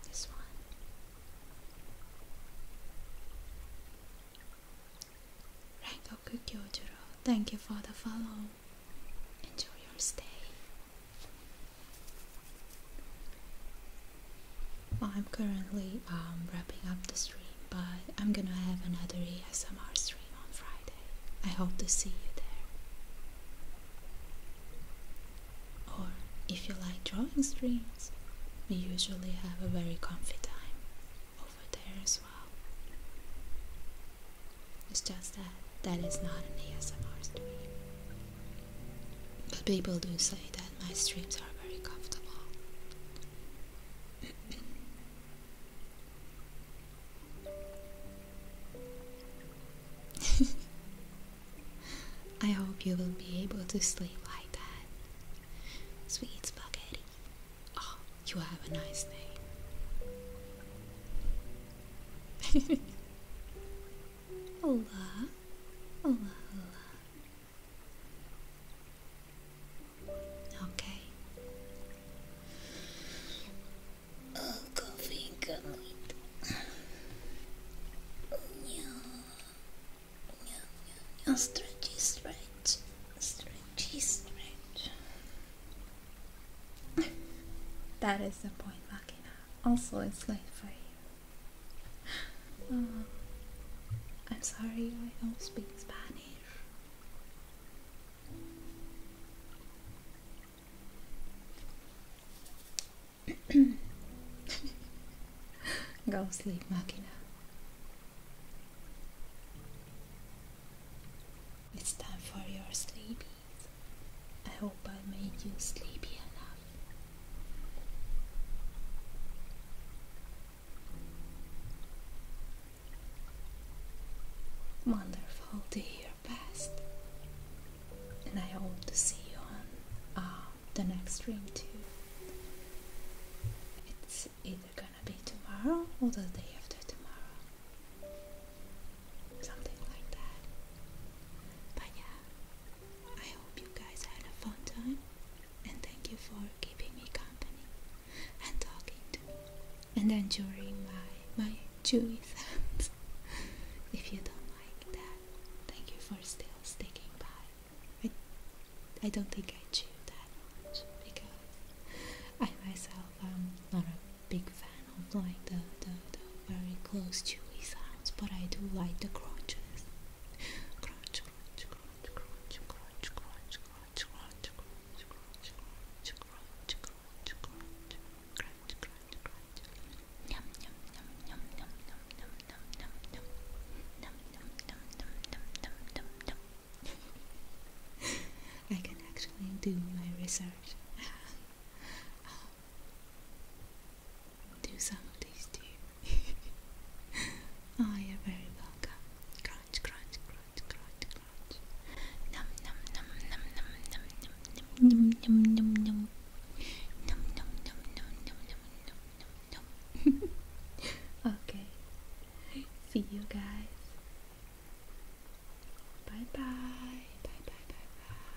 This one. Rengoku Kyojuro, thank you for the follow. Enjoy your stay. I'm currently um, wrapping up the stream, but I'm gonna have another ASMR stream on Friday. I hope to see you there. Or if you like drawing streams, we usually have a very comfy time over there as well. It's just that that is not an ASMR stream. But people do say that my streams are very comfortable. I hope you will be able to sleep like that. Sweet spaghetti. Oh, you have a nice day. Hola. Hola, hola. Okay. Uncle Fingerlight. yeah. Yeah, yeah, yeah. Stretchy, stretch. Stretchy, stretch. that is the point, Makina. Also, it's late for you. Um, I'm sorry, I don't speak Spanish. Go sleep, Machina. It's time for your sleepies. I hope I made you sleepy enough. Wonderful, dear past. And I hope to see you on uh, the next stream too. It's either gonna be tomorrow or the day after tomorrow. Something like that. But yeah, I hope you guys had a fun time and thank you for keeping me company and talking to me and enjoying my my chewy sounds. if you don't like that. Thank you for still sticking by. I, I don't think I chew that much because I myself am not a big fan of like the, the, very close chewy sounds, but I do like the crunches crunch, crunch, crunch. Yum, yum, yum, yum, yum, yum, yum, yum, yum, yum. Yum, yum, yum, yum, yum, yum, yum, yum. I can actually do my research. um, do some of these too. oh, you're very welcome. Crunch, crunch, crunch, crunch, crunch. Num, num, num, num, num, num, num, num, num, num, num, num, Nom nom nom nom nom nom nom nom nom. okay. See you guys. Bye bye. Bye bye bye bye.